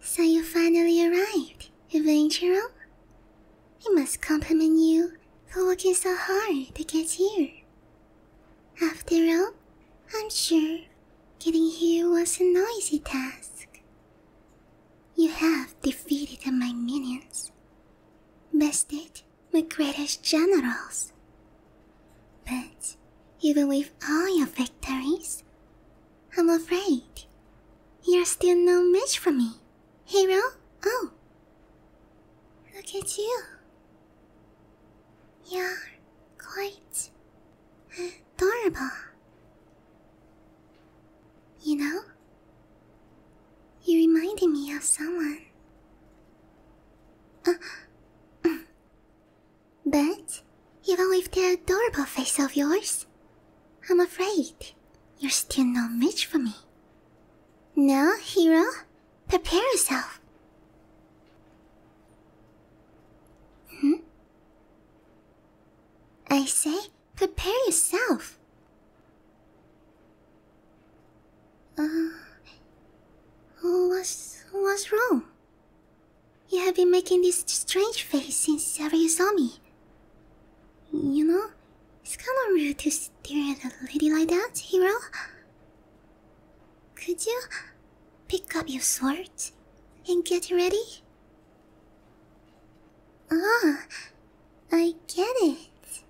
So you finally arrived, Evangelo? We must compliment you for working so hard to get here. After all, I'm sure getting here was a noisy task. You have defeated my minions, bested my greatest generals. But even with all your victories, I'm afraid you're still no match for me, hero. Oh, look at you. You're quite adorable. You know? You reminded me of someone. Uh, but, even with the adorable face of yours, I'm afraid you're still no match for me. Now, hero, prepare yourself. Hmm? I say, Prepare yourself. Uh, what's, what's wrong? You have been making this strange face since ever you saw me. You know, it's kinda rude to stare at a lady like that, hero. Could you pick up your sword and get ready? Ah, I get it.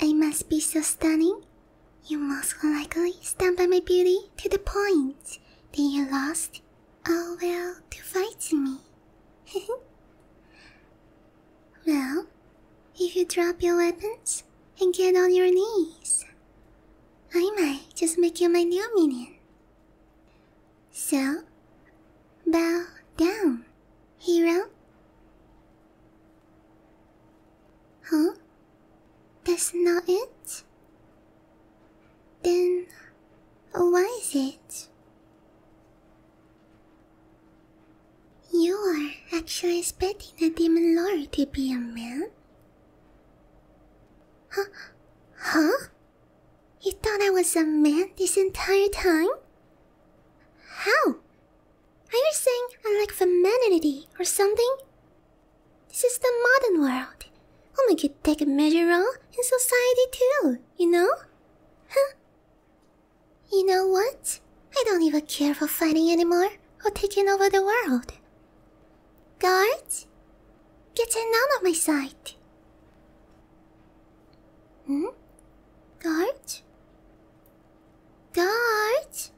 I must be so stunning. You most likely stand by my beauty to the point that you lost all will to fight me. well, if you drop your weapons and get on your knees, I might just make you my new minion. So, bow down, hero. Huh? That's not it? Then, why is it? You are actually expecting a demon lord to be a man? Huh? Huh? You thought I was a man this entire time? How? Are you saying I lack femininity or something? This is the modern world. Women oh could take a measure role in society too, you know? Huh? You know what? I don't even care for fighting anymore or taking over the world. Guards, get none on my side. Hmm? Dart? Dart?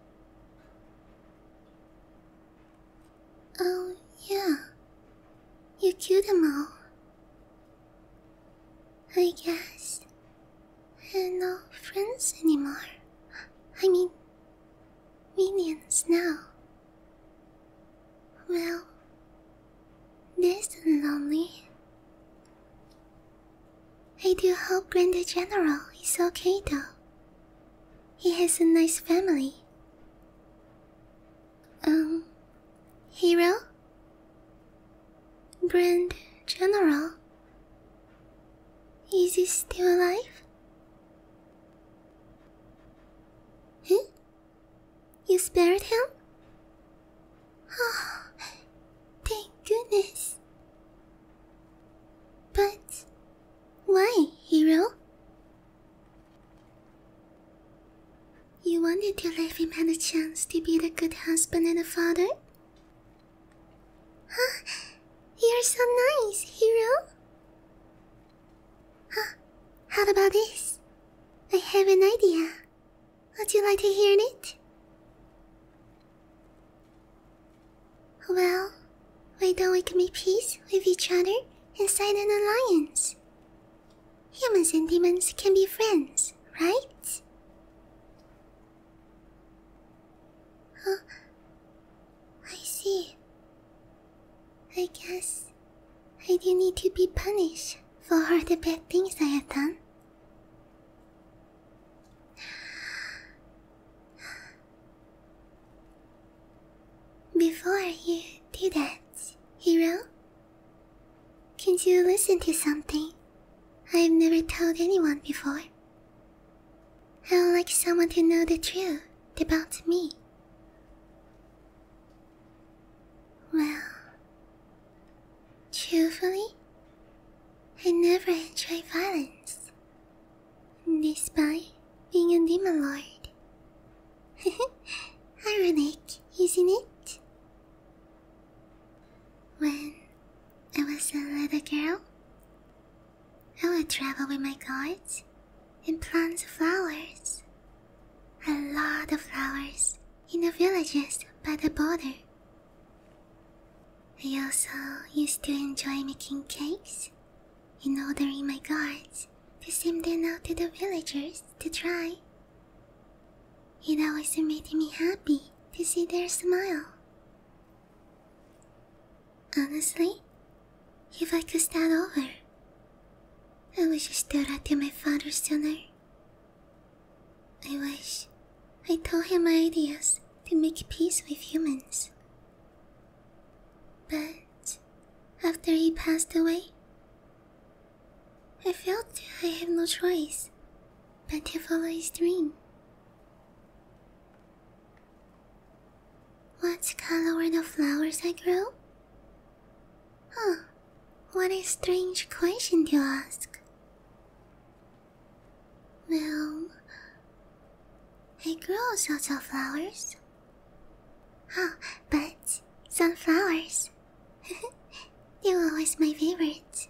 Oh, yeah. You killed them all. I guess And no friends anymore. I mean, minions now. Well, this lonely. I do hope Grand General is okay though. He has a nice family. Um, Hero? Grand General? Is he still alive? Huh? You spared him? Oh, thank goodness. But why, hero? You wanted to leave him had a chance to be the good husband and a father? Huh? Ah, you're so nice, hero. Huh? Ah, how about this? I have an idea. Would you like to hear it? Well, why don't we make peace with each other and sign an alliance? Humans and demons can be friends, right? Huh? Oh, I see. I guess I do need to be punished for the bad things I have done. Before you do that, hero, can you listen to something I've never told anyone before? I would like someone to know the truth about me. Well, truthfully, I never enjoy violence, despite being a demon lord. Ironic, isn't it? When I was a little girl, I would travel with my guards and plant flowers a lot of flowers in the villages by the border. I also used to enjoy making cakes and ordering my guards to send them out to the villagers to try. It always made me happy to see their smile. Honestly, if I could start over, I wish I still had my father's sooner. I wish I told him my ideas to make peace with humans. But after he passed away, I felt I have no choice but to follow his dream. What color were the flowers I grew? Huh, what a strange question to ask. Well, I grow sorts of flowers. Oh, but sunflowers. they were always my favorite.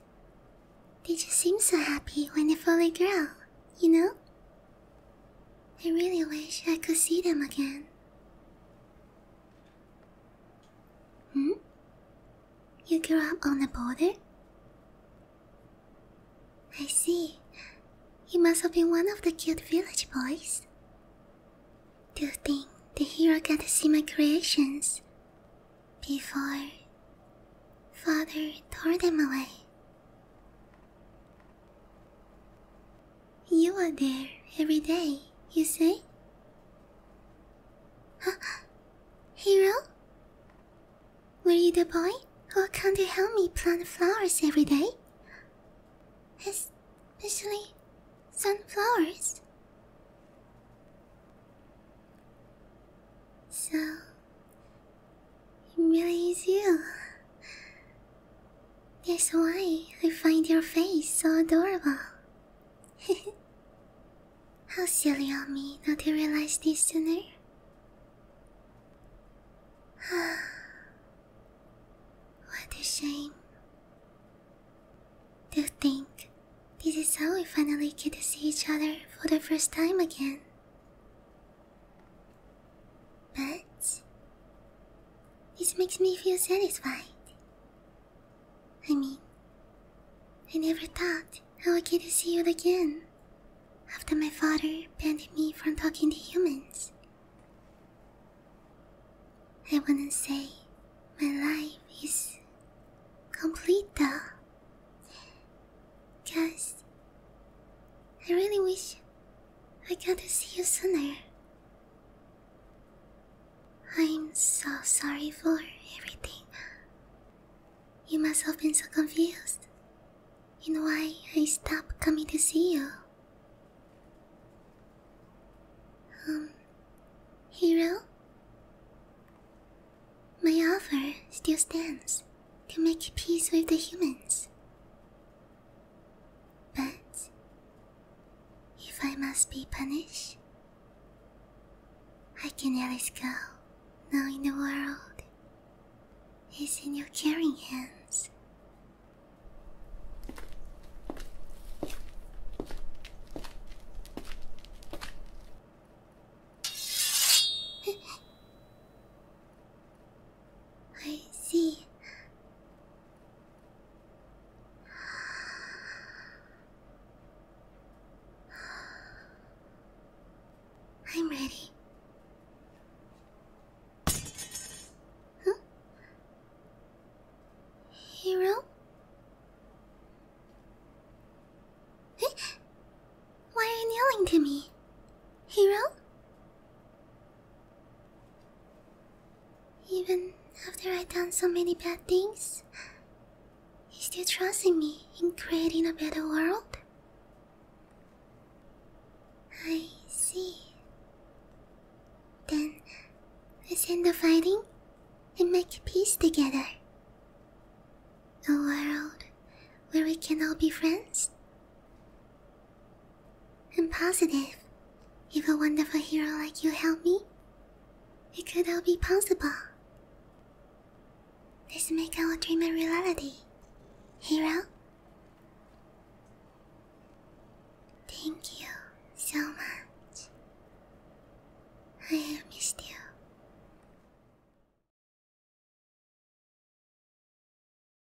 They just seem so happy when they fully grow, you know? I really wish I could see them again. Hmm? You grew up on the border? I see. You must have been one of the cute village boys. Do you think the hero got to see my creations before Father tore them away? You are there every day, you say? Hero? Were you the boy who come to help me plant flowers every day? Especially sunflowers. So, it really is you. That's why I find your face so adorable. How silly of me not to realize this sooner. what a shame. To think this is how we finally get to see each other for the first time again. But this makes me feel satisfied. I mean, I never thought I would get to see you again after my father banned me from talking to humans. I wouldn't say my life is complete though. Cause I really wish I got to see you sooner. I'm so sorry for everything. You must have been so confused in why I stopped coming to see you. Um, Hero? My offer still stands to make peace with the humans. But if I must be punished, I can at least go, Now, in the world is in your caring hands. I see. I'm ready. Huh? Hero? Why are you yelling to me? Hero? Even after I've done so many bad things, he's still trusting me in creating a better world. I see. Then let's end the fighting and make peace together. A world where we can all be friends I'm positive if a wonderful hero like you help me, it could all be possible. Let's make our dream a reality, hero. Thank you so much. I have missed you.